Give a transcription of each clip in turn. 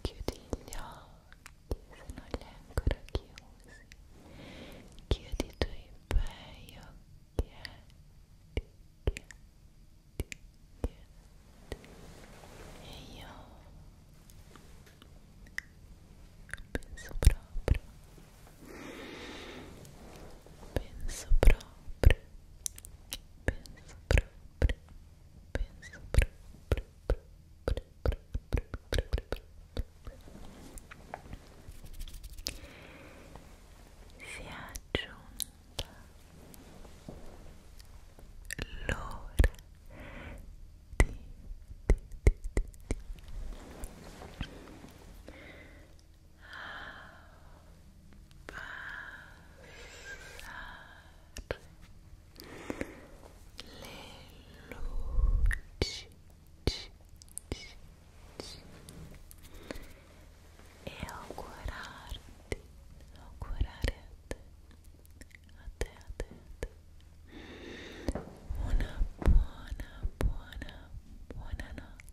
Chiudi gli occhi se non li hai ancora chiusi. Chiudi i tuoi bei occhietti, occhietti, occhietti. E io penso proprio Penso proprio, penso proprio, penso proprio, proprio, proprio, proprio, proprio. Si è aggiunta l'ora di, di, di, di, di le luci e augurarti augurare a a te a te a te una buona buona buona notte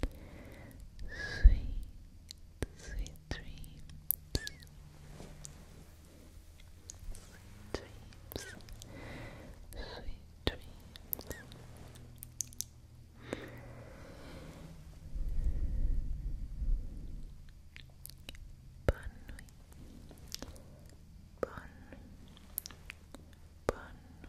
Sweet, sweet dreams. Sweet dreams. Sweet dreams. Bonne nuit. Bonne nuit. Bonne nuit.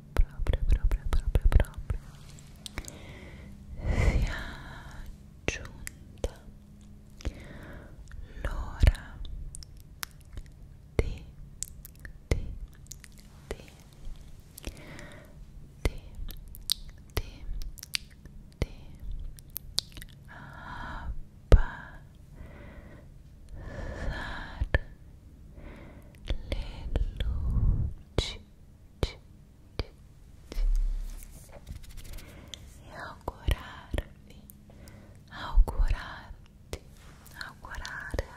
proprio, proprio, proprio, proprio sia giunta l'ora di, di, di, di, di, di abbassarci le luci e augurarvi augurarti augurare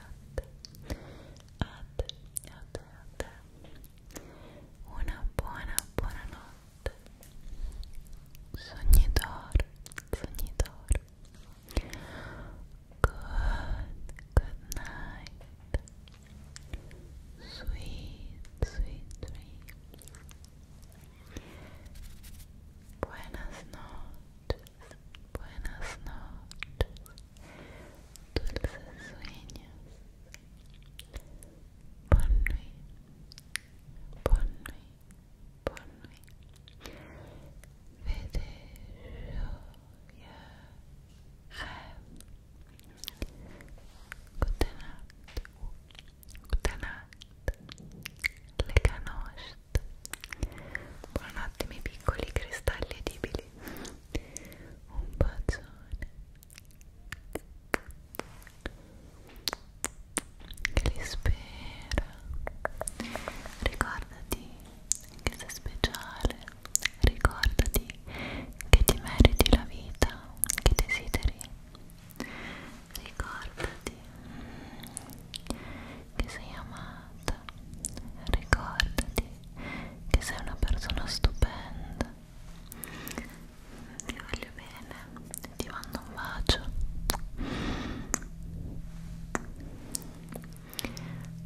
una buona buona notte sognitore sognitore Good, good night. Sweet, sweet dream. Buenas noches, buenas noches. Dulces sueños. Bon nuit, bon nuit, bon nuit. le canoste buonanotte miei piccoli cristalli edibili un bacione che li spera ricordati che sei speciale ricordati che ti meriti la vita che desideri, ricordati che sei amata, ricordati che sei una persona stupenda, ti voglio bene, ti mando un bacio.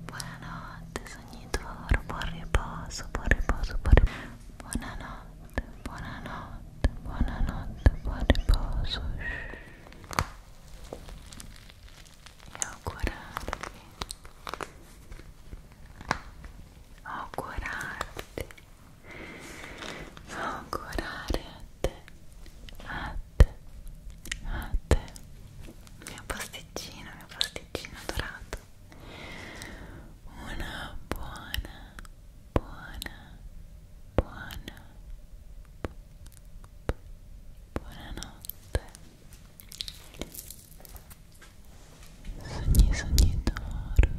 Buonanotte, sogni d'oro, buon riposo, buon riposo, buon Buonanotte, buonanotte, buonanotte, buon riposo. E augurarti. Augurarti. Augurare A te. A te. mia pasticcina, mia pasticcina dorata una buona, buona, buona buonanotte sogni, sogni d'oro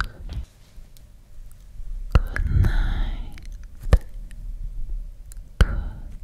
good night good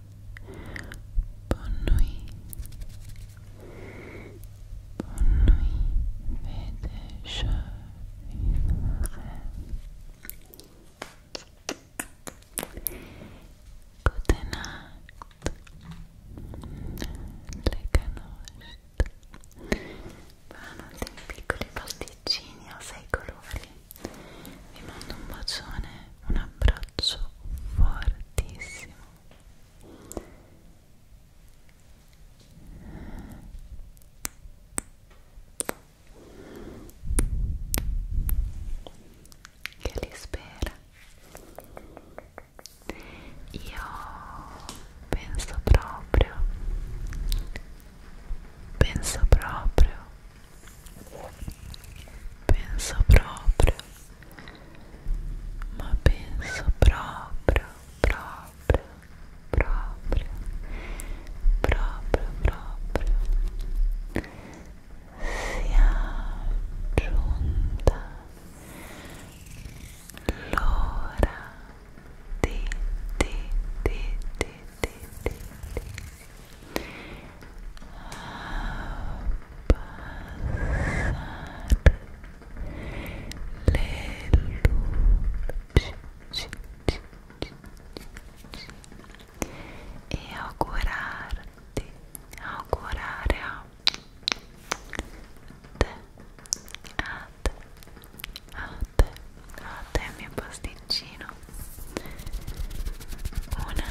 Bonne nuit. Bonne nuit. Mais déjà une rêve. Good night. Le canoste. Vanno dei piccoli pasticcini a sei colori. Vi mando un bacione, un abbraccio fortissimo che li spera io penso proprio penso proprio penso proprio ma penso proprio, proprio, proprio, proprio, proprio sia giunta l'ora di, di, di, di, di, di, di luci e augurarti, augurare a te, a te, a te, a te mio pasticcino una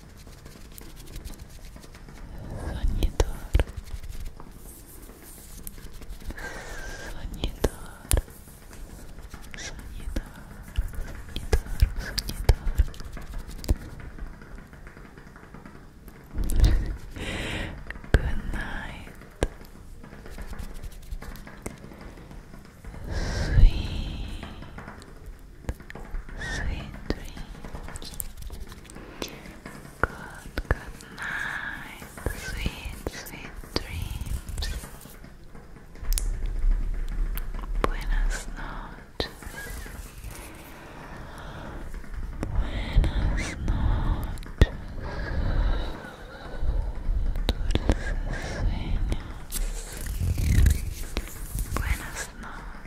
Sonidor Sonidor Sonidor Sonidor Sonidor Good night Sweet Sweet dreams. Good, good night. Sweet, sweet dreams. Buenas noches. Buenas noches. Dulces sueños. Buenas noches.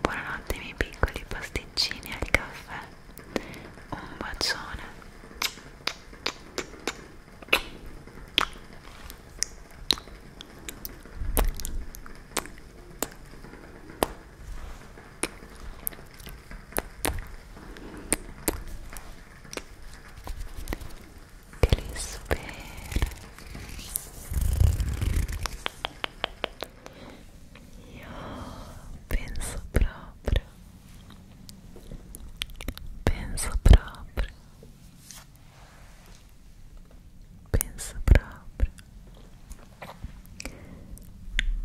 buonanotte i miei piccoli pasticcini al caffè un bacione che li spero Io penso proprio, penso proprio, penso proprio,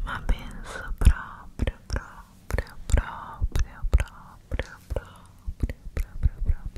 ma penso proprio, proprio, proprio, proprio, proprio, proprio, proprio.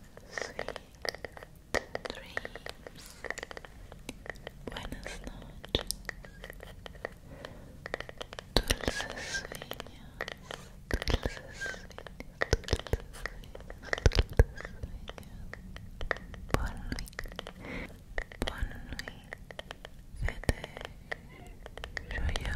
sweet dreams. Buenas noches. Dulces sueños. Dulces sueños. Dulces sueños. Bonne nuit. Bonne nuit. Faites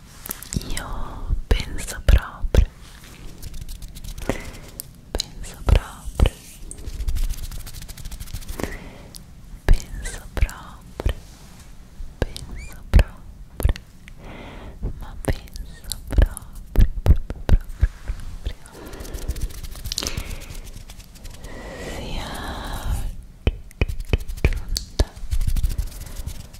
io penso proprio penso proprio penso proprio penso proprio ma penso proprio proprio proprio proprio sia giunta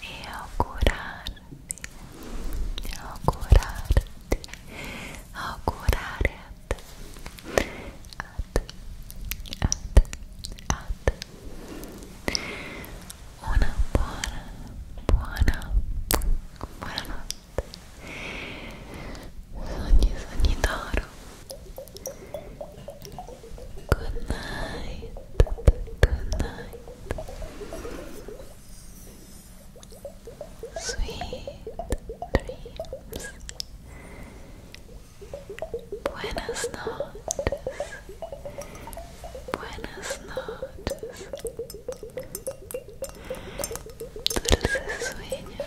e augurarti, augurarti, augurare a te, a te, a te, a te una buona, buona, buonanotte sogni, sogni d'oro Good night. Good night. Sweet dreams. Buenas noches. Buenas noches. Dulces sueños.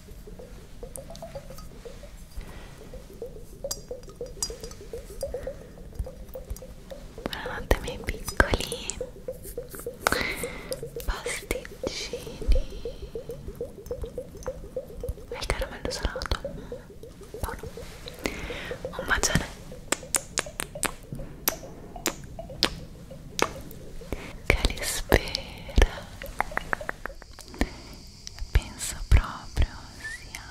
Buonanotte miei piccoli pasticcini e il caramello salato buono un bacione che li spera penso proprio sia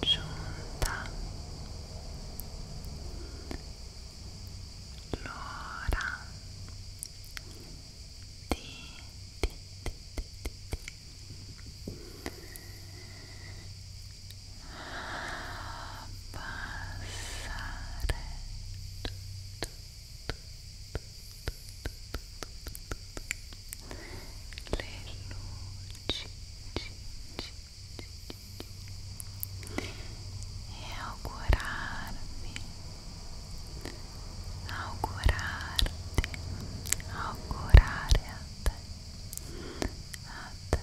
giunta l'ora di, di, di, di, di. passare tutto é augurar-me, augurar-te, augurar-te, até, até, até,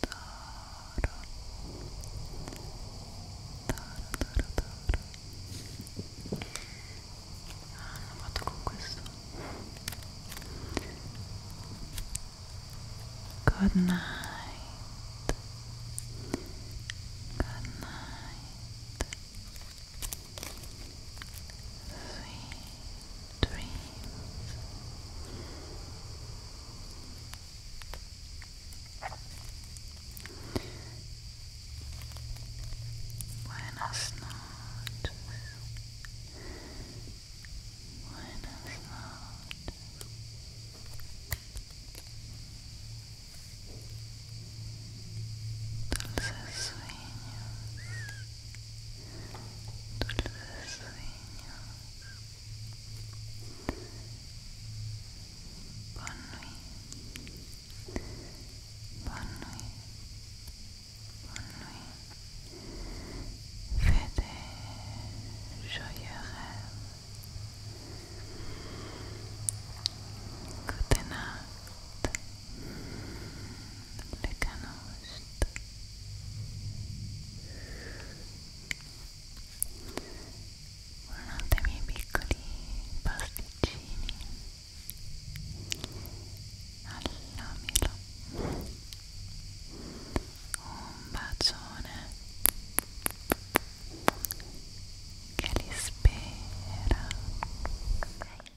toro ah, hanno fatto con questo good night good night sweet dreams Buenas noches. Buenas noches. Dulces sueños. Dulces sueños. Bonne nuit. Bonne nuit. Bonne nuit. Fais des joyeux rêves. Good night. Le canot. Buonanotte ai miei piccoli pasticcini alla milo un bacione che li spera ok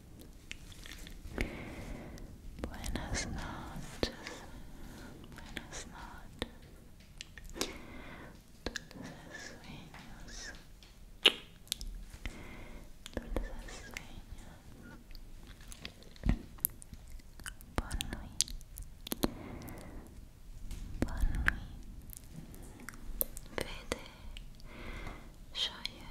Buenas noches, buenas noches, dulces sueños, dulces sueños, bonne nuit, bonne nuit, vete, joyeux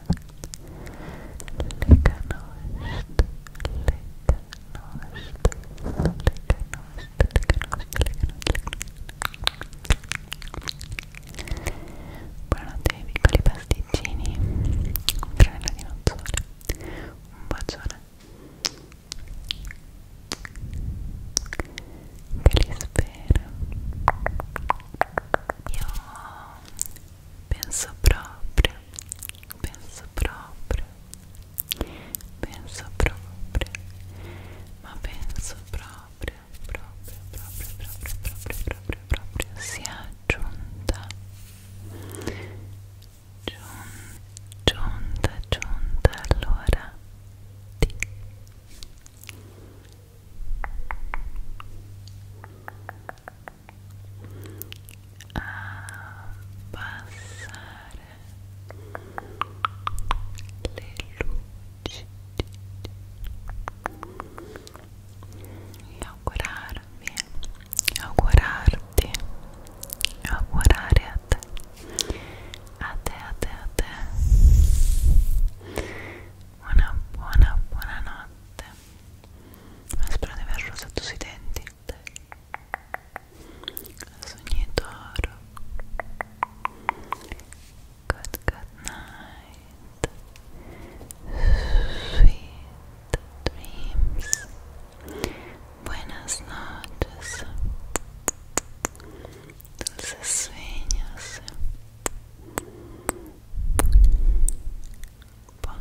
le canoste, le canoste, le canoste, le canoste, le canoste. Buonanotte ai piccoli pasticcini, un tranello di nozzole, un bacione. Che li spero. Io penso proprio, penso proprio, penso proprio, ma penso proprio, proprio, proprio, proprio, proprio, proprio, proprio, sia giunta, giunta, giunta allora di di a passare le luci e augurarvi augurarti augurare a te a te a te a te una buona buona notte spero para ver los sui denti soñador good good night sweet dreams buenas noches dulces sueños Bye.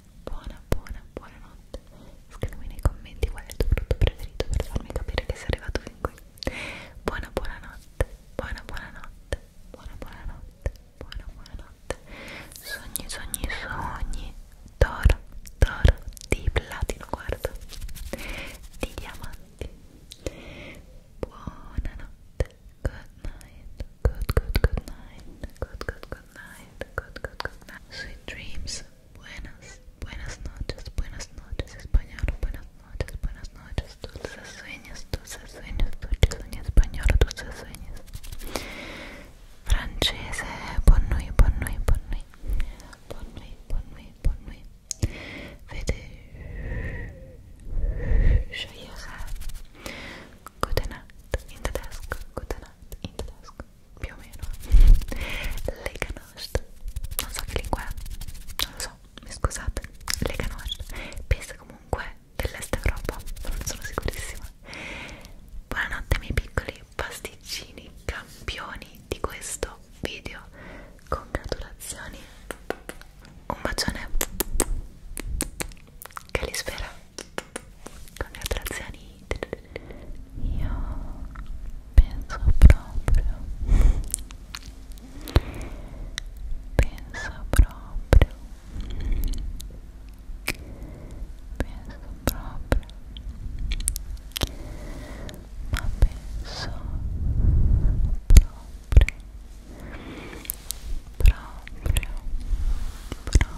buona, buona, buonanotte. Scrivimi nei commenti qual è il tuo prodotto preferito per farmi capire che sei arrivato fin qui. Buona, buonanotte, buona, buonanotte, buona, buonanotte, buona, buonanotte. Sogni, sogni, sogni. Toro, toro, di platino, guarda, di diamanti. Buonanotte, good night, good, good, good night, good, good, good night. Sweet dreams. Buenas, buenas noches, buenas noches, español, buenas noches, buenas noches, dulces sueños, dulces sueños, dulces sueños, español, dulces sueños. Francese, bonne bonne nuit, bonne nuit. Bonne nuit, bonne nuit, Good night. In the Good night. Donut in tedesco più o meno le ganache non so che lingua è non lo so mi scusate le ganache penso comunque dell'est Europa non sono sicurissima buonanotte miei piccoli pasticcini campioni di questo video congratulazioni un bacione che li spera con le attrazioni io penso proprio penso proprio penso proprio ma penso proprio proprio proprio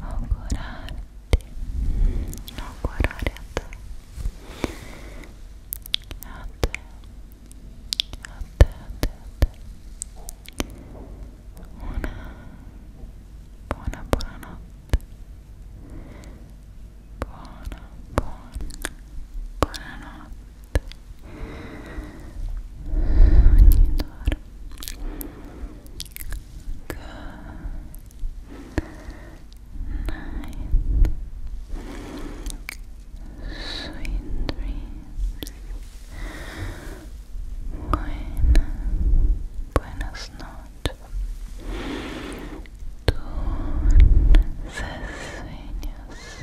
augurarti augurare a te a te a te a te a te una buona buonanotte buona buona buonanotte ogni giorno Good night. Sweet dreams. Buena, buenas noches. Dulces sueños.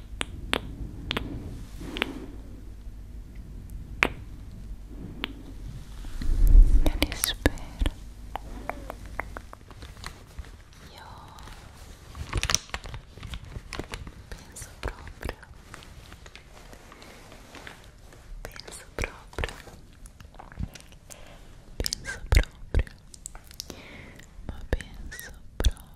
Io li spero. Io penso proprio, penso proprio, penso proprio, ma penso proprio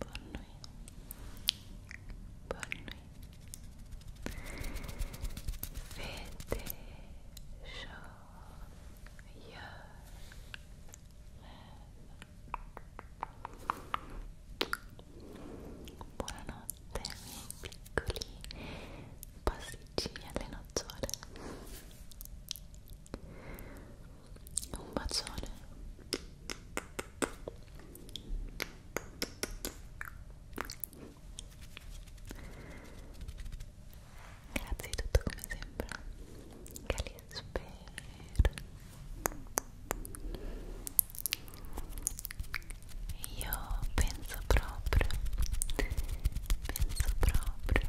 Bonne nuit. Buonanotte miei piccoli pasticcini alle nocciole un bacione Grazie di tutto come sempre. Calisper. Io penso proprio, penso proprio,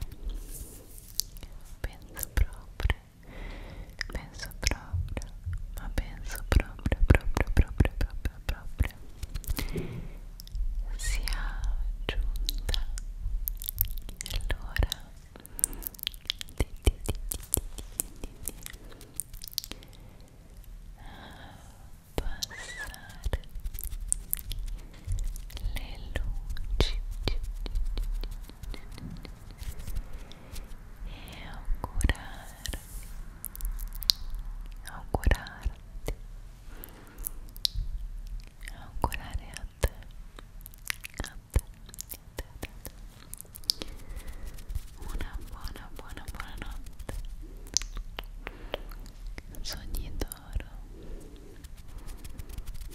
penso proprio penso proprio ma penso proprio proprio proprio proprio proprio sia giunta l'ora di, di, di, di, di, di, di ah, passare le luci le luci le luci le luci e augurarti, augurarti, augurare a te, a te, a te, a te, una buona, buona, buona notte, sogni d'oro,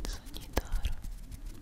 sogni d'oro.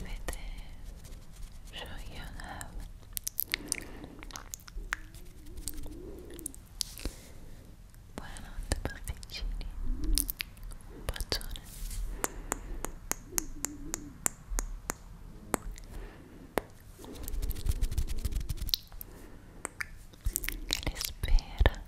with it, show you how. Buonanotte pasticcini, un bacione. Che li spera.